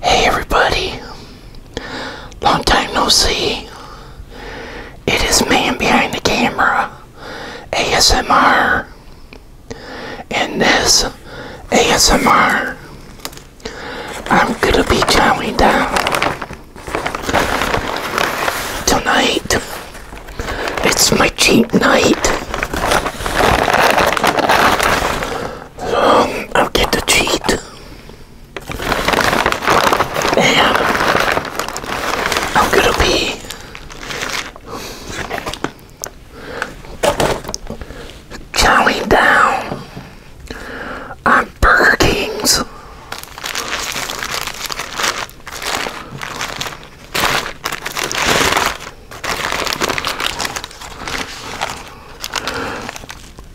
Hey everybody, long time no see. It is man behind the camera, ASMR, and this ASMR. I'm gonna be chowing down tonight. It's my cheat night. I'll get the cheat. And I'm gonna be counting down on Burger King's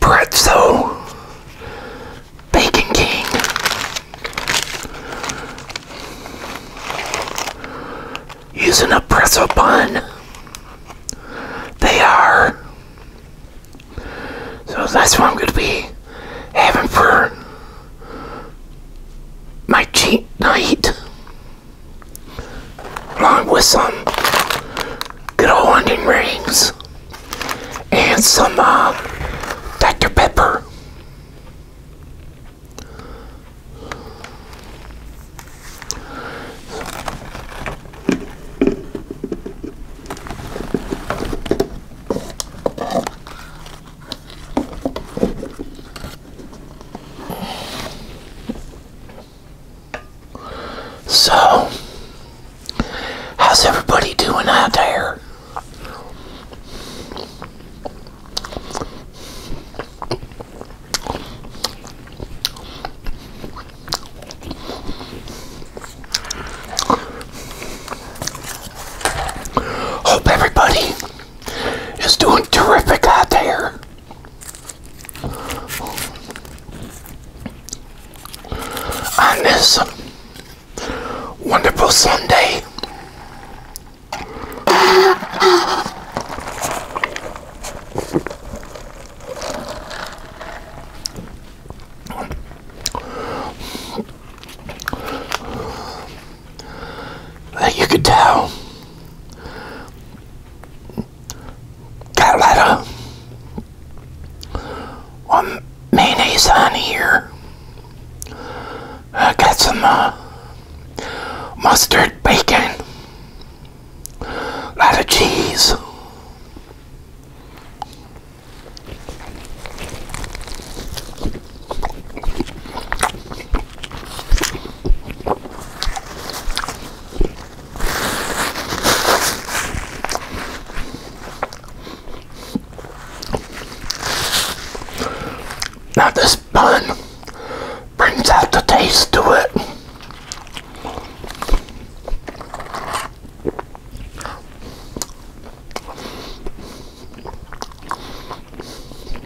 pretzel, bacon king, using a pretzel bun. They are. So that's what I'm going to be having for my cheat night along with some good old hunting rings and some uh, Dr. Pepper. So, how's everybody doing out there? Hope everybody is doing terrific out there on this wonderful Sunday. you could tell got a lot of um, mayonnaise on here. I got some uh, mustard, bacon, a lot of cheese. Now this bun brings out the taste to it.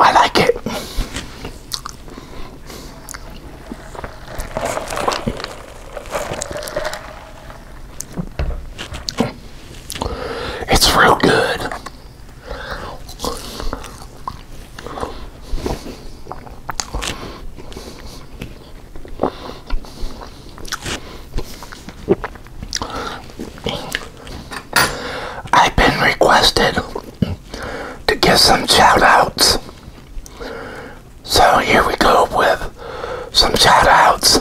I like it. It's real good. I've been requested to give some shoutouts, So here we go with some shoutouts. outs.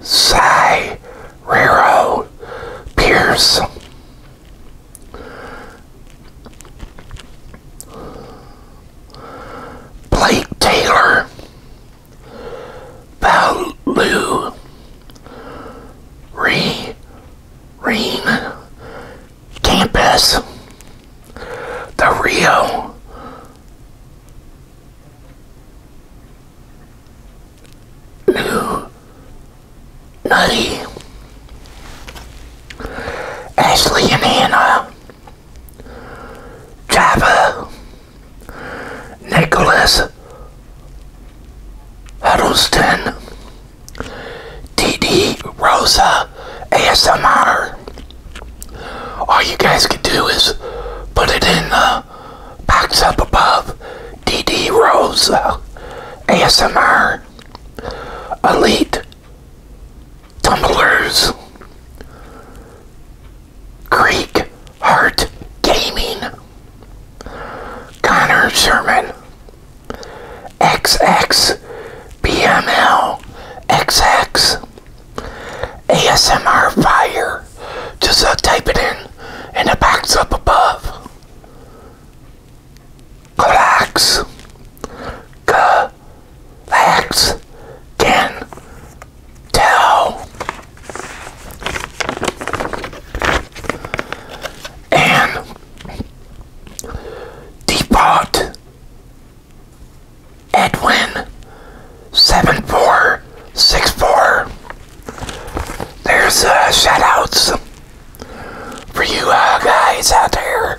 Cy Rero Pierce. Blake Taylor, Baloo, Re, Reen, Campus, the Rio, New, Nutty, Ashley and Hannah, Java, Nicholas Huddleston, DD Rosa, ASMR. All you guys can do is put it in the box up above. DD Rosa, ASMR, Elite Tumblers, Creek Heart Gaming, Connor Sherman, XX, BML, XX, ASMR Fire. Just uh, type it in and it box up above. Relax. Relax. Can tell and depot, Edwin 7464. There's uh, shout outs for you uh, guys out there.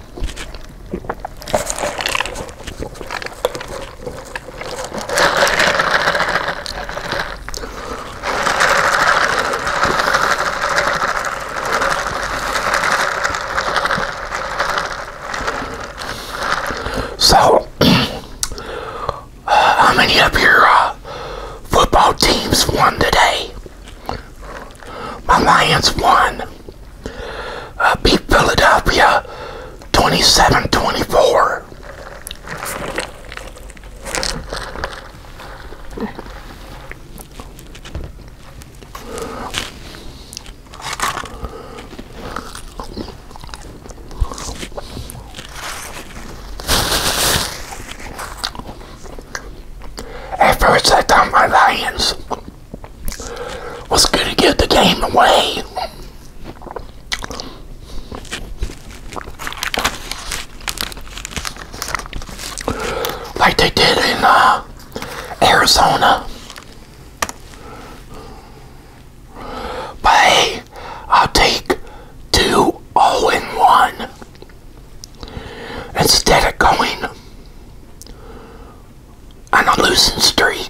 So, how many of your uh, football teams won today? My Lions won uh, beat Philadelphia 27 24. At first my lions was going to get the game away. Like they did in uh, Arizona. But I'll take two oh all in one instead of going on a losing streak.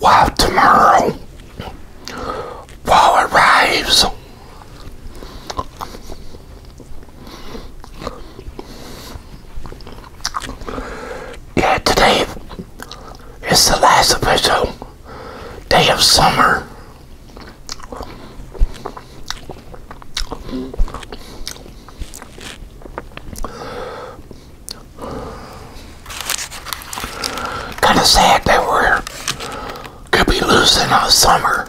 While tomorrow fall arrives, yeah, today is the last official day of summer. Kind of sad they were. could be losing our summer.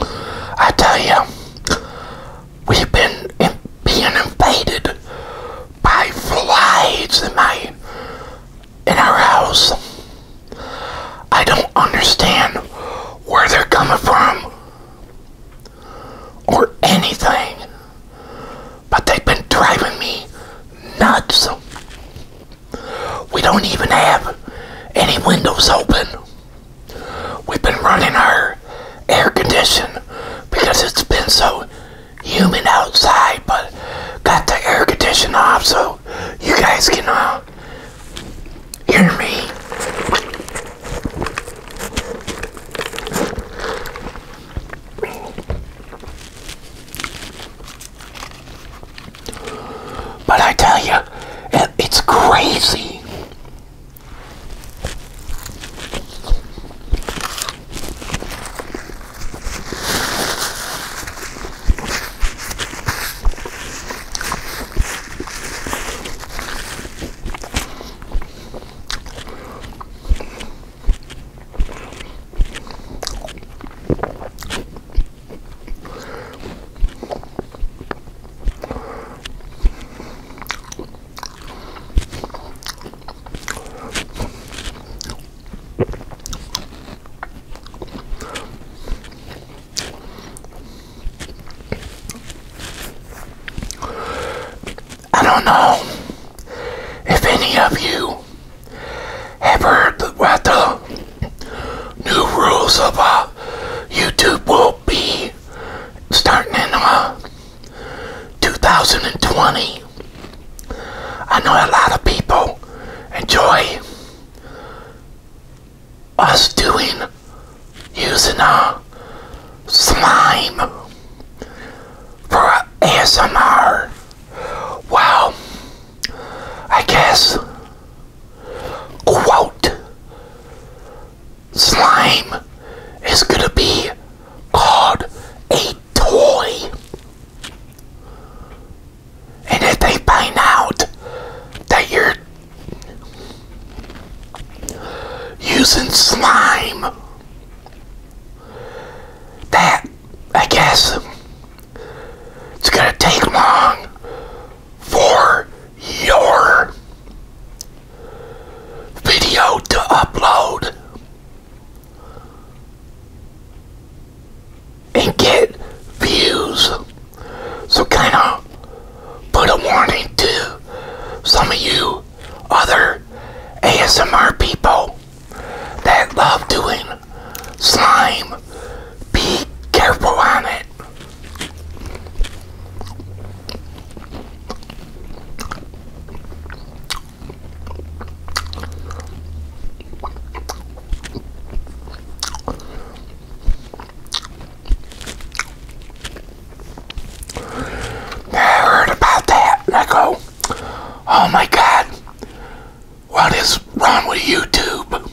I tell you, we've been being invaded by flies in my in our house. I don't understand where they're coming from or anything, but they've been driving me nuts. We don't even have any windows open. We've been running our air condition because it's been so humid outside, but got the air condition off so you guys can uh, hear me. But I tell you, it's crazy. I don't know if any of you have heard about the new rules of YouTube will be starting in uh, 2020. I know a lot of people enjoy us doing using a uh, slime for uh, ASMR. Wow, I guess quote, slime is going to be called a toy. And if they find out that you're using slime, that, I guess, it's going to take long for your video to upload and get views. So kind of put a warning to some of you other ASMR people that love doing slime be careful on it. I heard about that, I go, oh my god, what is wrong with YouTube?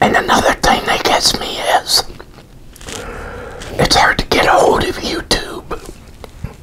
And another thing that gets me is it's hard to get a hold of YouTube.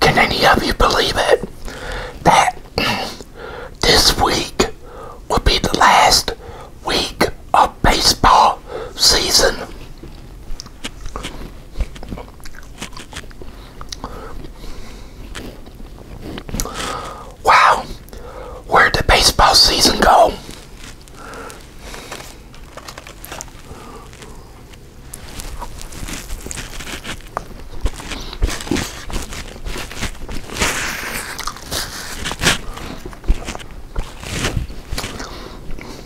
Can any of you believe it? That this week will be the last week of baseball season. Wow, where'd the baseball season go?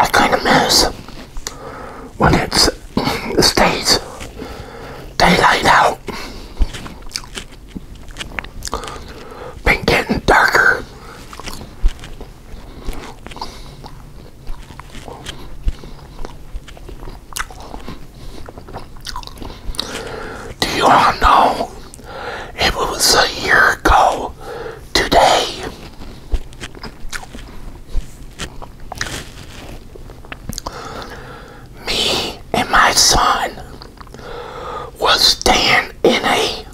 I kind of miss when it stays daylight out been getting darker. Do you all know it was a year ago today? Me and my son was staying in a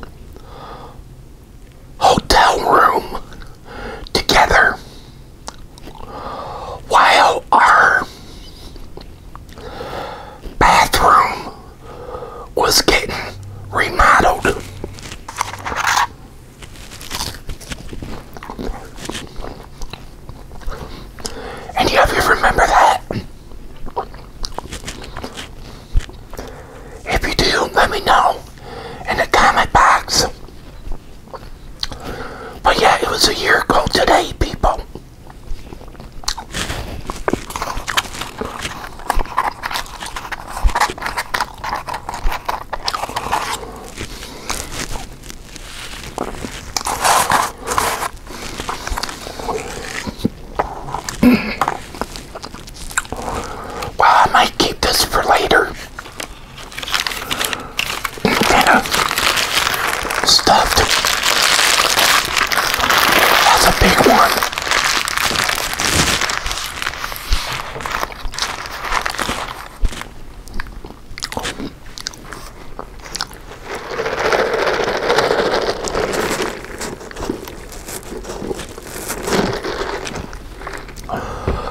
hotel room together while our bathroom was getting remodeled. Any of you remember that? If you do, let me know in the comment box. But yeah, it was a year ago today, people well, I might keep this for later. Kind of uh, stuffed. That's a big one.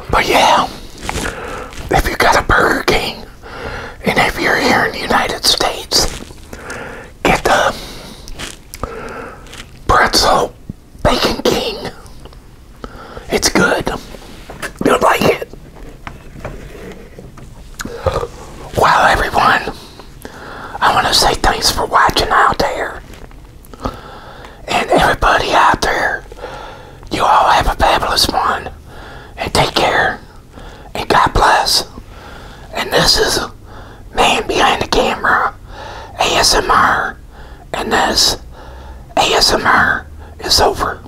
But yeah, if you got a Burger King, and if you're here in the United States, get the pretzel Bacon King. It's good. You'll like it. Well, everyone, I want to say thanks for watching out there. And everybody out there, you all have a fabulous one. And take care. And God bless. And this is Man Behind the Camera, ASMR. And this ASMR is over.